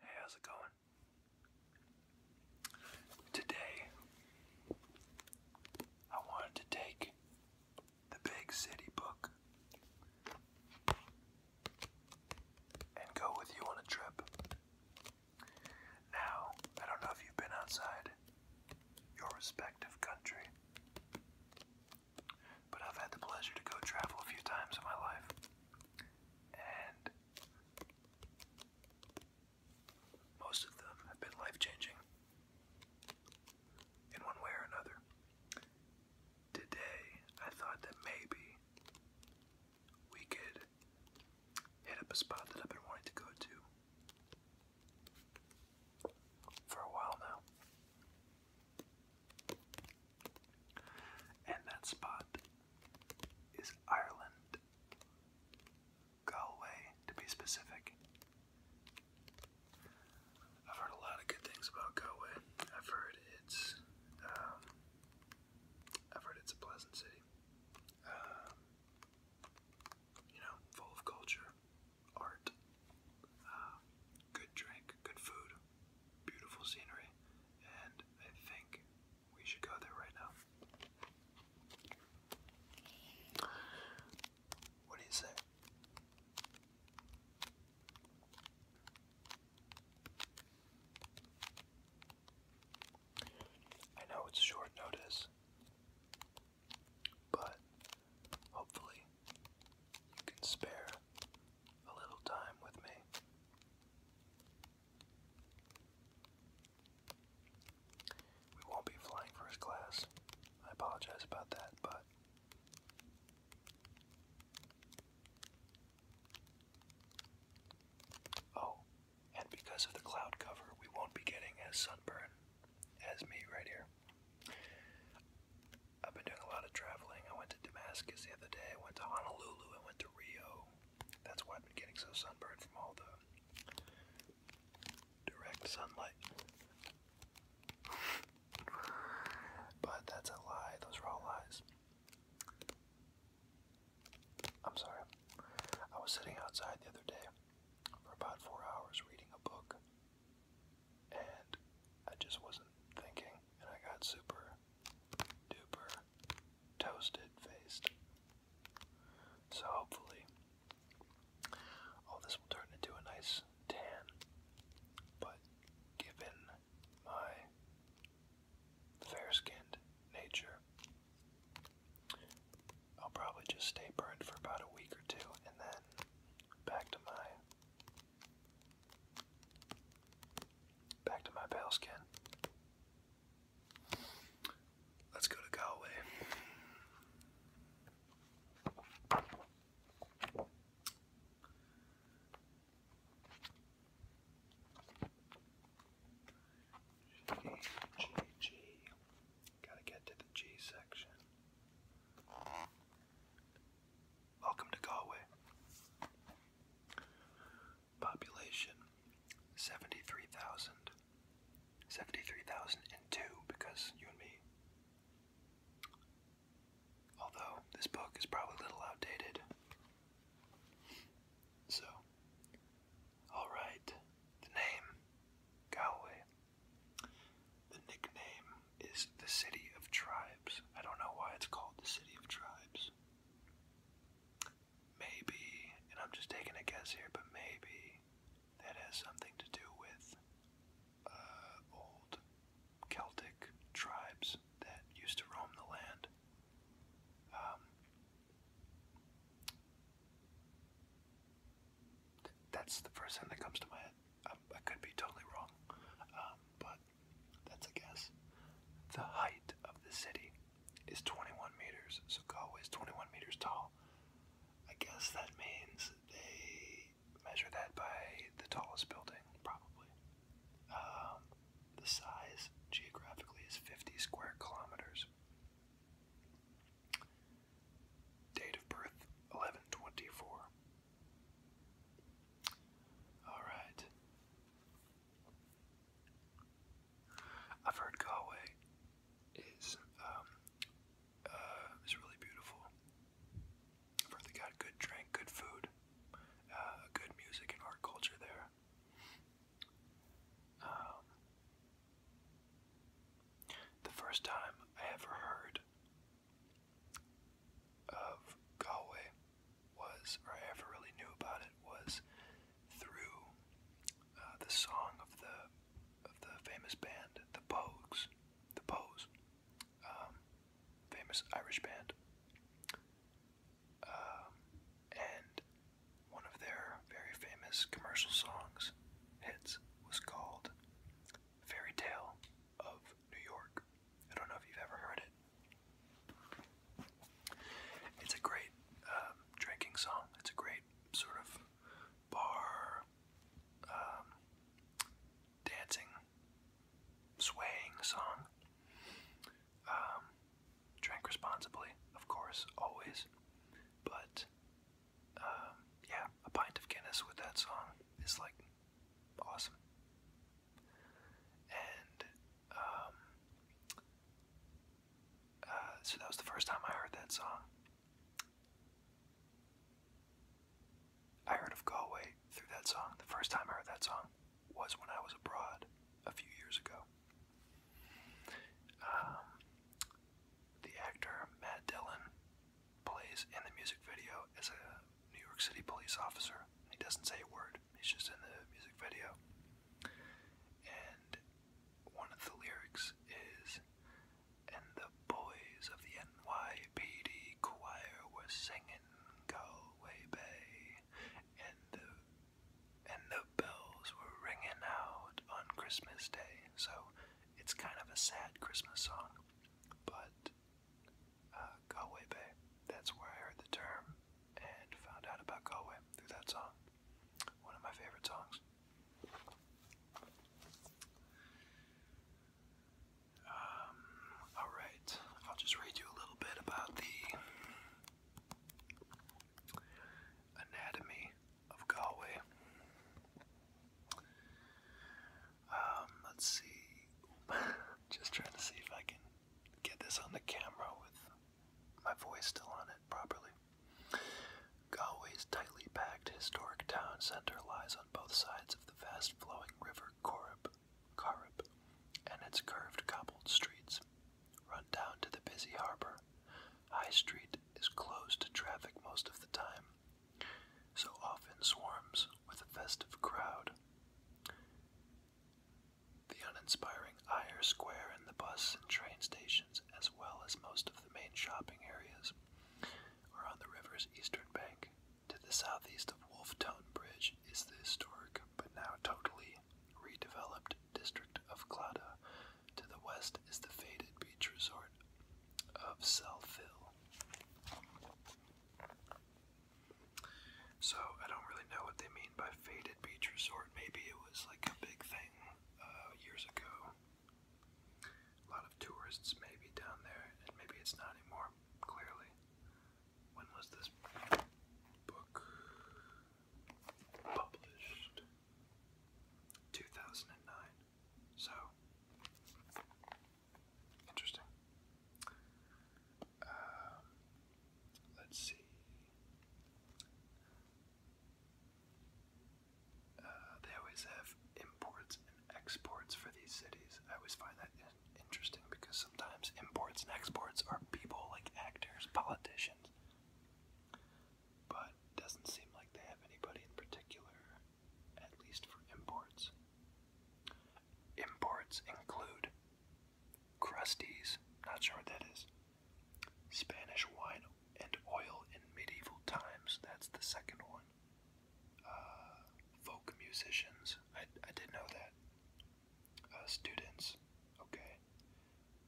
Hey, how's it going? Today, I wanted to take the Big City book and go with you on a trip. Now, I don't know if you've been outside your respective country, but I've had the pleasure to go travel a few times in my life. And most of them have been life changing in one way or another. Today, I thought that maybe we could hit up a spot that I've been wanting to go to for a while now. And that spot is Ireland, Galway to be specific. I've heard a lot of good things about Galway. I've heard it's, um, I've heard it's a pleasant city. Um, you know, full of culture, art, um, good drink, good food, beautiful scenery, and I think we should go there right now. What do you say? I know it's short notice, but hopefully you can spare a little time with me. We won't be flying first class. I apologize about that, but. Oh, and because of the cloud cover, we won't be getting as sunburned as me right here. I've been doing a lot of traveling. I went to Damascus the other day, I went to Honolulu, I went to Rio. That's why I've been getting so sunburned from all the direct sunlight. but that's a lie, those are all lies. I'm sorry. I was sitting outside the other day for about four hours reading a book, and I just wasn't thinking, and I got super duper toasted faced. So hopefully all this will turn into a nice tan. But given my fair skinned nature, I'll probably just stay burned for about a week or two and then back to my Back to my pale skin. Let's go to Galway. G, G, G. Gotta get to the G section. Welcome to Galway. Population 73,000. 73,002 because you and me. Although this book is probably a little outdated. So, alright, the name, Galway. The nickname is the City of Tribe. I don't know why it's called the City of Tribes. Maybe, and I'm just taking a guess here, but maybe that has something to do with uh, old Celtic tribes that used to roam the land. Um, that's the first thing that comes to my head. Um, I, could be totally wrong, um, but that's a guess. The height of the city is 21 meters, so Galway is 21 meters tall. I guess that means they measure that by the tallest building, probably. Um, the size geographically is 50 square kilometers. Date of birth 1124. All right. I've heard Galway is um, uh, is really beautiful. I've heard they got good drink, good food, uh, good music and art culture there. Um, the first time I ever heard of Galway was, or I ever really knew about it, was through uh, the song of the of the famous band, the Pogues, the Pogues, um, famous Irish band, um, and one of their very famous commercial songs hits was called "Fairy Tale of New York." I don't know if you've ever heard it. It's a great um, drinking song. It's a great sort of bar um, dancing, swaying song. Um, drink responsibly, of course, always. But yeah, a pint of Guinness with that song is like awesome. And um, uh, so that was the first time I heard that song. I heard of Galway through that song. The first time I heard that song was when I was abroad a few years ago. Um, the actor Matt Dillon plays in the music video as a New York City police officer. He doesn't say a word. It's just in the music video. And one of the lyrics is, and the boys of the NYPD choir were singing Galway Bay, and the and the bells were ringing out on Christmas Day. So it's kind of a sad Christmas song, but uh, Galway Bay. That's where I heard the term and found out about Galway through that song. One of my favorite songs. Um, Alright, I'll just read you a little bit about the anatomy of Galway. Um, let's see. Just trying to see if I can get this on the camera with my voice still on it properly. Galway's tightly packed historic town centre lies on both sides of the fast flowing river Corrib, Corrib and its curved cobbled streets run down to the busy harbour. High Street is closed to traffic most of the time, so often swarms with a festive crowd. The uninspiring Eyre Square and the bus and train stations, as well as most of the main shopping areas, are on the river's eastern bank. To the southeast of Wolfetown Bridge is the historic, but now totally redeveloped, district of Clada. To the west is the faded beach resort of Selphil. So I don't really know what they mean by faded beach resort. Maybe it was like a big thing uh, years ago. A lot of tourists maybe down there, and maybe it's not anymore. Clearly, when was this book published? 2009. So interesting. Um, let's see. Uh, they always have imports and exports for these cities. I always find that interesting because sometimes imports and exports are people like actors, politicians. But doesn't seem like they have anybody in particular, at least for imports. Imports include Crusties, not sure what that is. Spanish wine and oil in medieval times, that's the second one. Uh, folk musicians, I, I did know that. Uh, students, okay.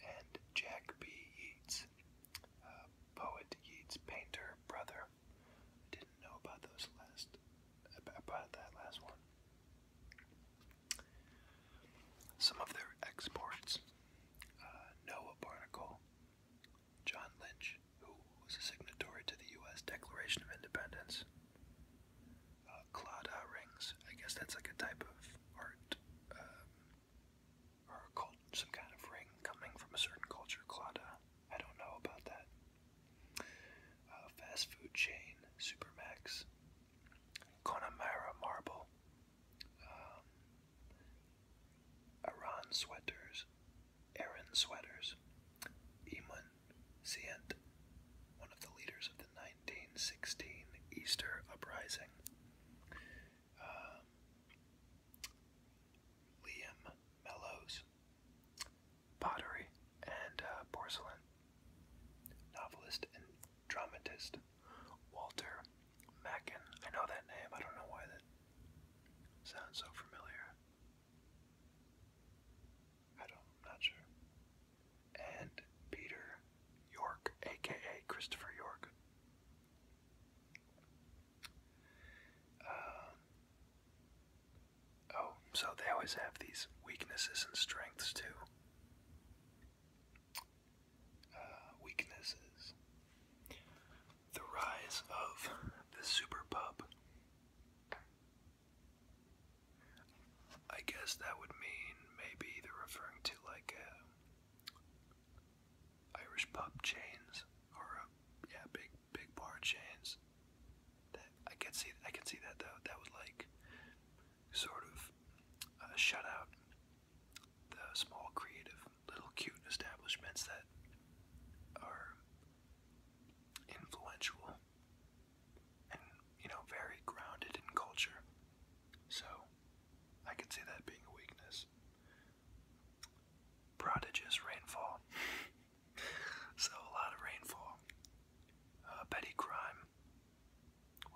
And Jack B. Yeats, uh, poet Yeats, painter, brother. I didn't know about those last, about that last one. Some of their exports uh, Noah Barnacle, John Lynch, who was a signatory to the U.S. Declaration of Independence, uh, rings. I guess that's like a type of art um, or some kind of ring coming from a certain culture. Claude, I don't know about that. Uh, fast food chain Supermax, Connemara Marble, um, Sweaters, Aaron Sweaters, Iman Sient, one of the leaders of the 1916 Easter Uprising, um, Liam Mellows, pottery, and uh, porcelain. Novelist and dramatist Walter Mackin. I know that name. I don't know why that sounds so familiar. I don't, not sure. And Peter York, aka Christopher York. Um, Oh, so they always have these weaknesses and strengths too. Uh, weaknesses. The rise of the super pub. I guess that would mean maybe they're referring to like uh, Irish pub chains or uh, yeah big big bar chains I can see. I can see that though. That would like sort of uh, shut out the small, creative, little, cute establishments that are influential and you know very grounded in culture. So I could see that being a weakness. Prodigious rainfall. so a lot of rainfall uh, petty crime,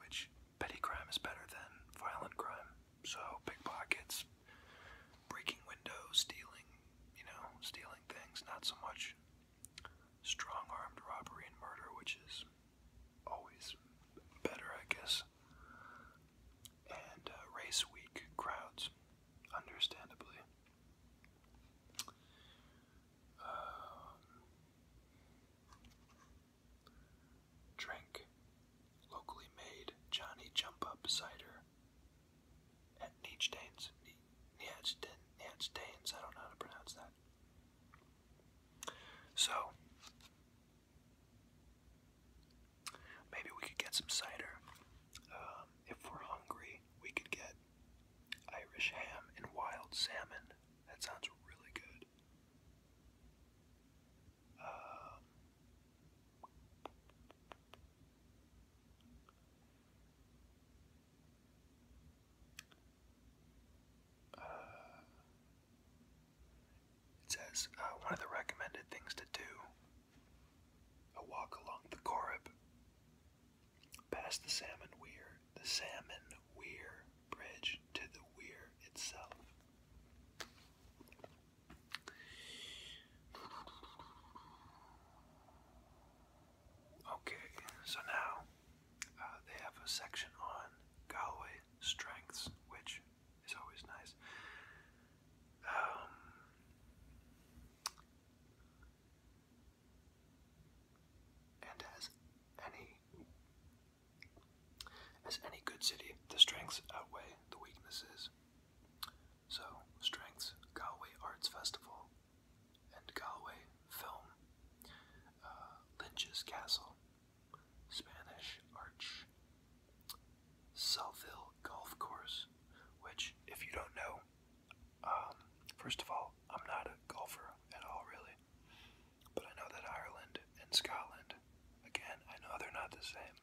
which petty crime is better than violent crime. So pickpockets, breaking windows, stealing, you know, stealing things, not so much strong-armed robbery and murder, which is always better, I guess. And uh, race weak crowds, understandably. Um, drink locally made Johnny Jump Up cider at Nietzsche's. Nietzsche's. I don't know how to pronounce that. So maybe we could get some cider. Um, if we're hungry, we could get Irish ham and wild salmon. That sounds really good. Um, uh, it says uh, one of the recommended things to do a walk along the Corrib. Past the salmon weir, the salmon weir bridge to the weir itself. Okay, so now uh, they have a section on Galway strengths, which is always nice. Um, and as any as any good city, the strengths outweigh the weaknesses. So, strengths, Galway Arts Festival and Galway Film, uh, Lynch's Castle, Spanish Arch, Southhill Golf Course, which, if you don't know, um, first of all, I'm not a golfer at all, really. But I know that Ireland and Scotland, again, I know they're not the same.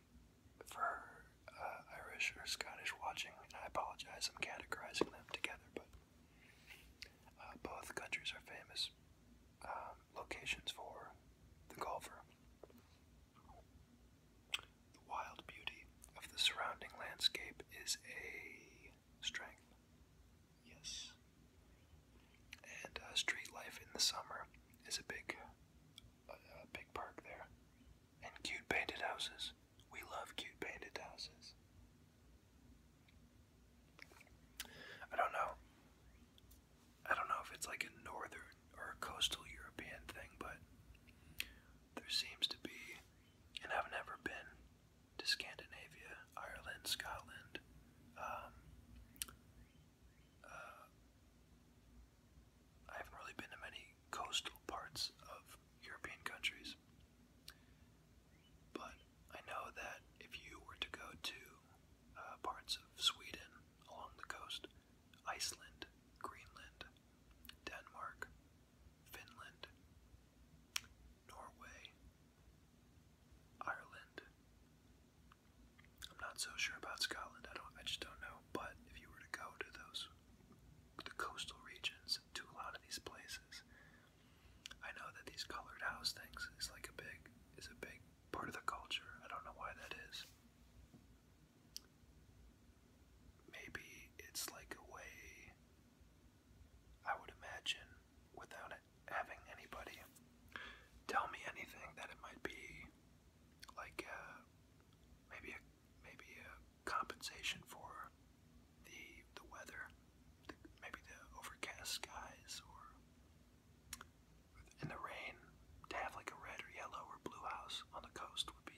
For uh, Irish or Scottish watching, I apologize, I'm categorizing them together, but uh, both countries are famous um, locations for the golfer. The wild beauty of the surrounding landscape is a strength. Yes. And uh, street life in the summer is a big, big park there. And cute painted houses. We love cute painted houses. I don't know. I don't know if it's like a northern or a coastal European thing, but there seems to be, and I've never been, to Scandinavia, Ireland, Scotland, um, uh, I haven't really been to many coastal parts of European countries. But I know that if you were to go to uh, parts of Sweden along the coast, Iceland, Greenland, Denmark, Finland, Norway, Ireland. I'm not so sure about Scotland. I don't. I just don't know. But if you were to go to those, the coastal regions, to a lot of these places, I know that these colored house things is like a big, is a big part of the culture. I don't know why that is. Maybe it's like a way. I would imagine without having anybody tell me anything that it might be like uh, maybe a maybe a compensation for the the weather, maybe the overcast skies or in the rain to have like a red or yellow or blue house on the coast would be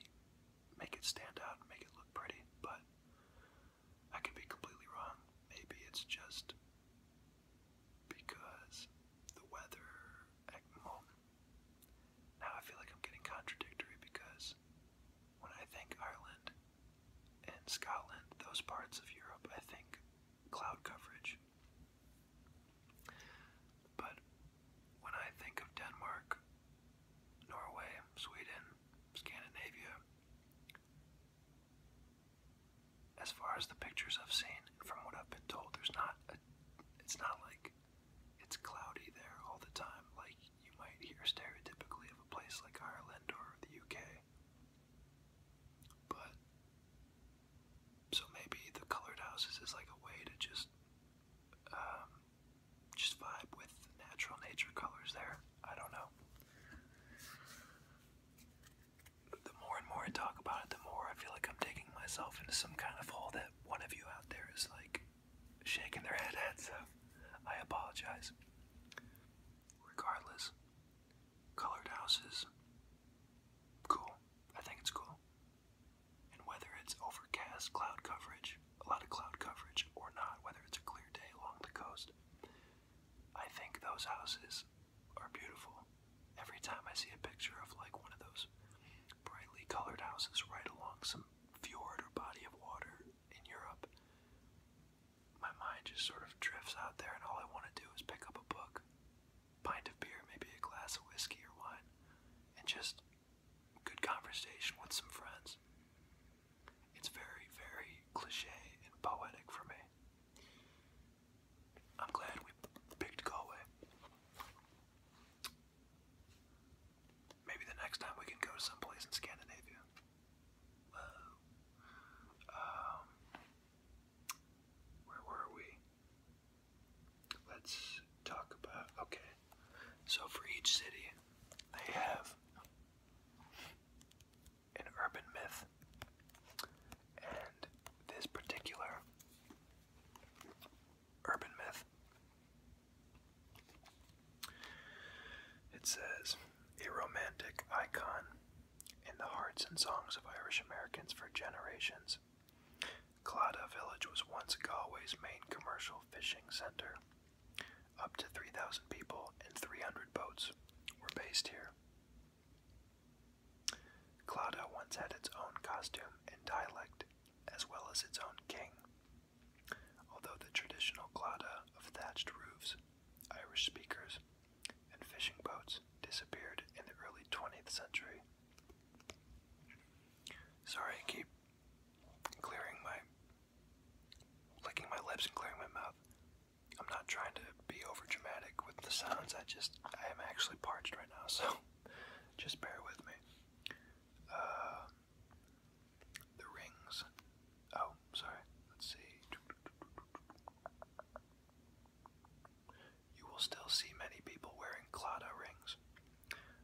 make it stand out and make it look pretty, but I could be completely wrong. Maybe it's just because the weather at moment. Now I feel like I'm getting contradictory because when I think Ireland and Scotland, those parts of Europe, I think cloud coverage. But when I think of Denmark, Norway, Sweden, Scandinavia, as far as the pictures I've seen, and from what I've been told, there's not a, it's not like it's cloudy there all the time, like you might hear stereotypically of a place like Ireland or the UK. But so maybe the colored houses is like a way to just um, just vibe with natural nature colors there. I don't know. The more and more I talk about it, the more I feel like I'm digging myself into some kind of hole that one of you out there is like shaking their head at, so I apologize. Regardless, colored houses, cool. I think it's cool. And whether it's overcast cloud coverage, a lot of cloud coverage, or not, whether it's a clear day along the coast, I think those houses are beautiful. Every time I see a picture of like one of those brightly colored houses right along some fjord or body of water in Europe, my mind just sort of drifts out there, and all I want to do is pick up a book, pint of beer, maybe a glass of whiskey or wine, and just good conversation with some friends. It's very, very cliche and poetic for me. I'm glad we picked Galway. Maybe the next time we can go to someplace in Scandinavia. Um, where were we? Let's talk about. Okay. So for each city, they have an urban myth. And this particular urban myth it says a romantic icon in the hearts and songs of Irish Americans for generations. Claddagh village was once Galway's main commercial fishing center. Up to 3,000 people and 300 boats were based here. Clauda once had its own costume and dialect, as well as its own king. Although the traditional Clauda of thatched roofs, Irish speakers, and fishing boats disappeared in the early 20th century. Sorry, keep clearing my licking my lips and clearing my mouth. I'm not trying to be over dramatic with the sounds. I just I am actually parched right now, so just bear with me. Uh, the rings. Oh, sorry. Let's see. You will still see many people wearing clada rings.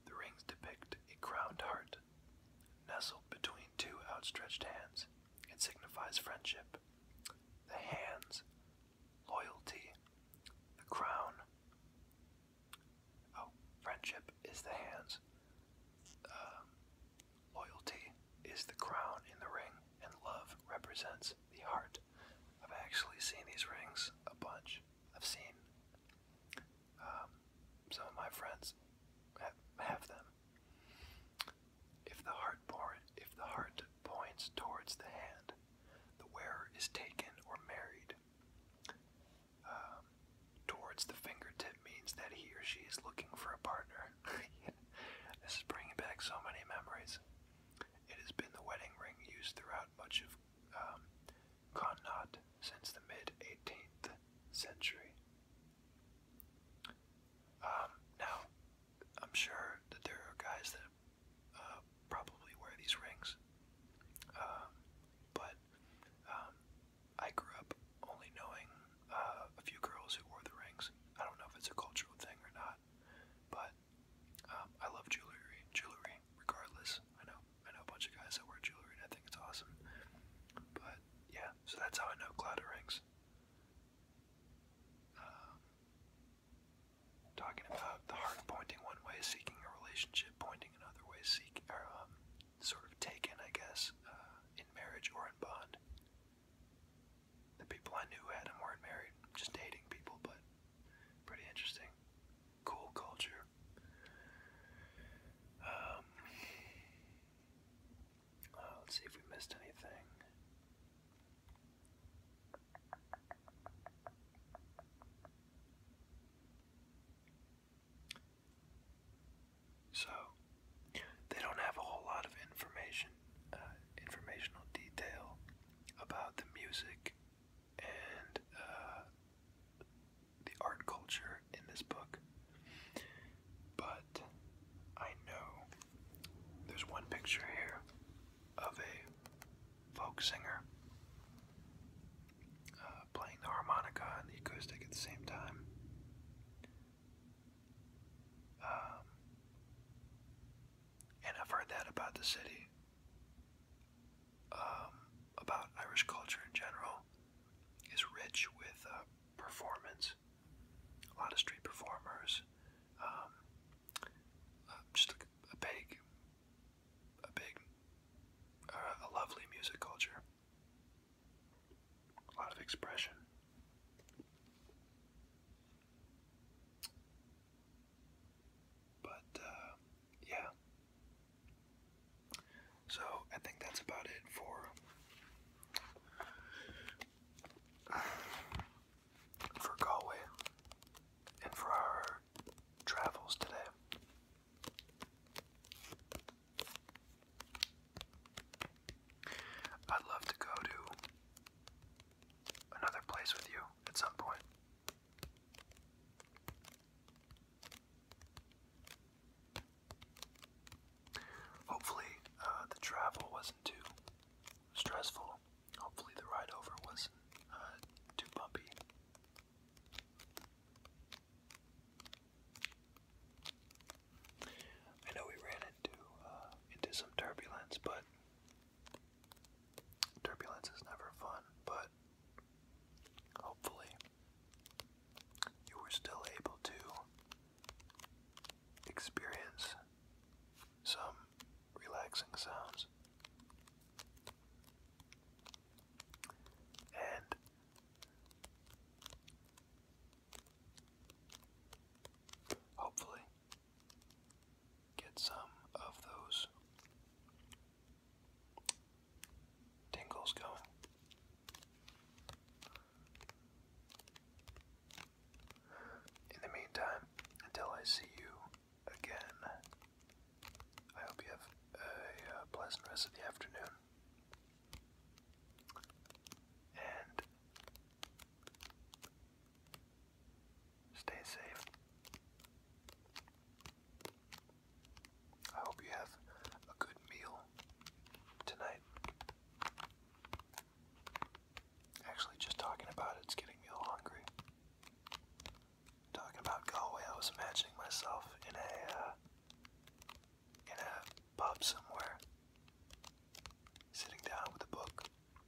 The rings depict a crowned heart Nestled between two outstretched hands, it signifies friendship. The hands, loyalty, the crown. Oh, friendship is the hands. Um, loyalty is the crown in the ring, and love represents the heart. I've actually seen these rings a bunch. I've seen um, some of my friends have them, if the heart points towards the hand, the wearer is taken or married. Um, towards the fingertip means that he or she is looking for a partner. this is bringing back so many memories. It has been the wedding ring used throughout much of um, since the mid 18th century. Um, now, I'm sure that there are guys that uh, probably wear these rings, um, but um, I grew up only knowing uh, a few girls who wore the rings. I don't know if it's a cultural thing or not, but I love jewelry. Jewelry, regardless. I know I know a bunch of guys that wear jewelry, and I think it's awesome. But yeah, so that's how I know cloud of rings. Um, talking about the heart pointing one way, seeking a relationship, pointing another way, seek or um, sort of taken, I guess, uh, in marriage or in bond. The people I knew had them weren't married, just dating people, but pretty interesting. Cool culture. Um, uh, let's see if we missed anything. So, they don't have a whole lot of information, uh, informational detail about the music and uh, the art culture in this book. But I know there's one picture here of a folk singer uh, playing the harmonica and the acoustic at the same time. Um, and I've heard that about the city, um, about Irish culture in general, is rich with uh, performance a lot of street performers, um, uh, just a, big, a big, uh, a lovely music culture, a lot of expression. But uh, yeah, so I think that's about it for for Galway and for our travels today. I'd love to go to another place with you at some point. Hopefully, uh, the travel wasn't too stressful. Hopefully, the ride over wasn't uh, too bumpy. I know we ran into uh, into some turbulence, but turbulence is never fun. But hopefully, you were still able to experience some relaxing sounds. And hopefully get some of those tingles going. In the meantime, until I see you again, I hope you have a uh, pleasant rest of the afternoon. And stay safe. I hope you have a good meal tonight. Actually, just talking about it's getting me a little hungry. Talking about Galway, I was imagining myself in a uh, in a pub somewhere, sitting down with a book,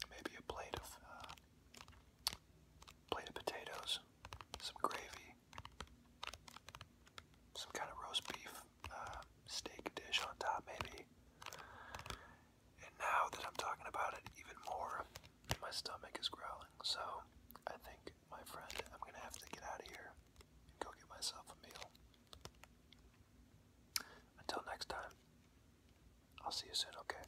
maybe a plate of uh, plate of potatoes, some gravy, some kind of roast beef, um, steak dish on top, maybe. And now that I'm talking about it even more, my stomach is growling. So I think, my friend, I'm gonna have to get out of here and go get myself a meal. Until next time, I'll see you soon, okay?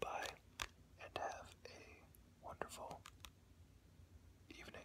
Bye, and have a wonderful evening.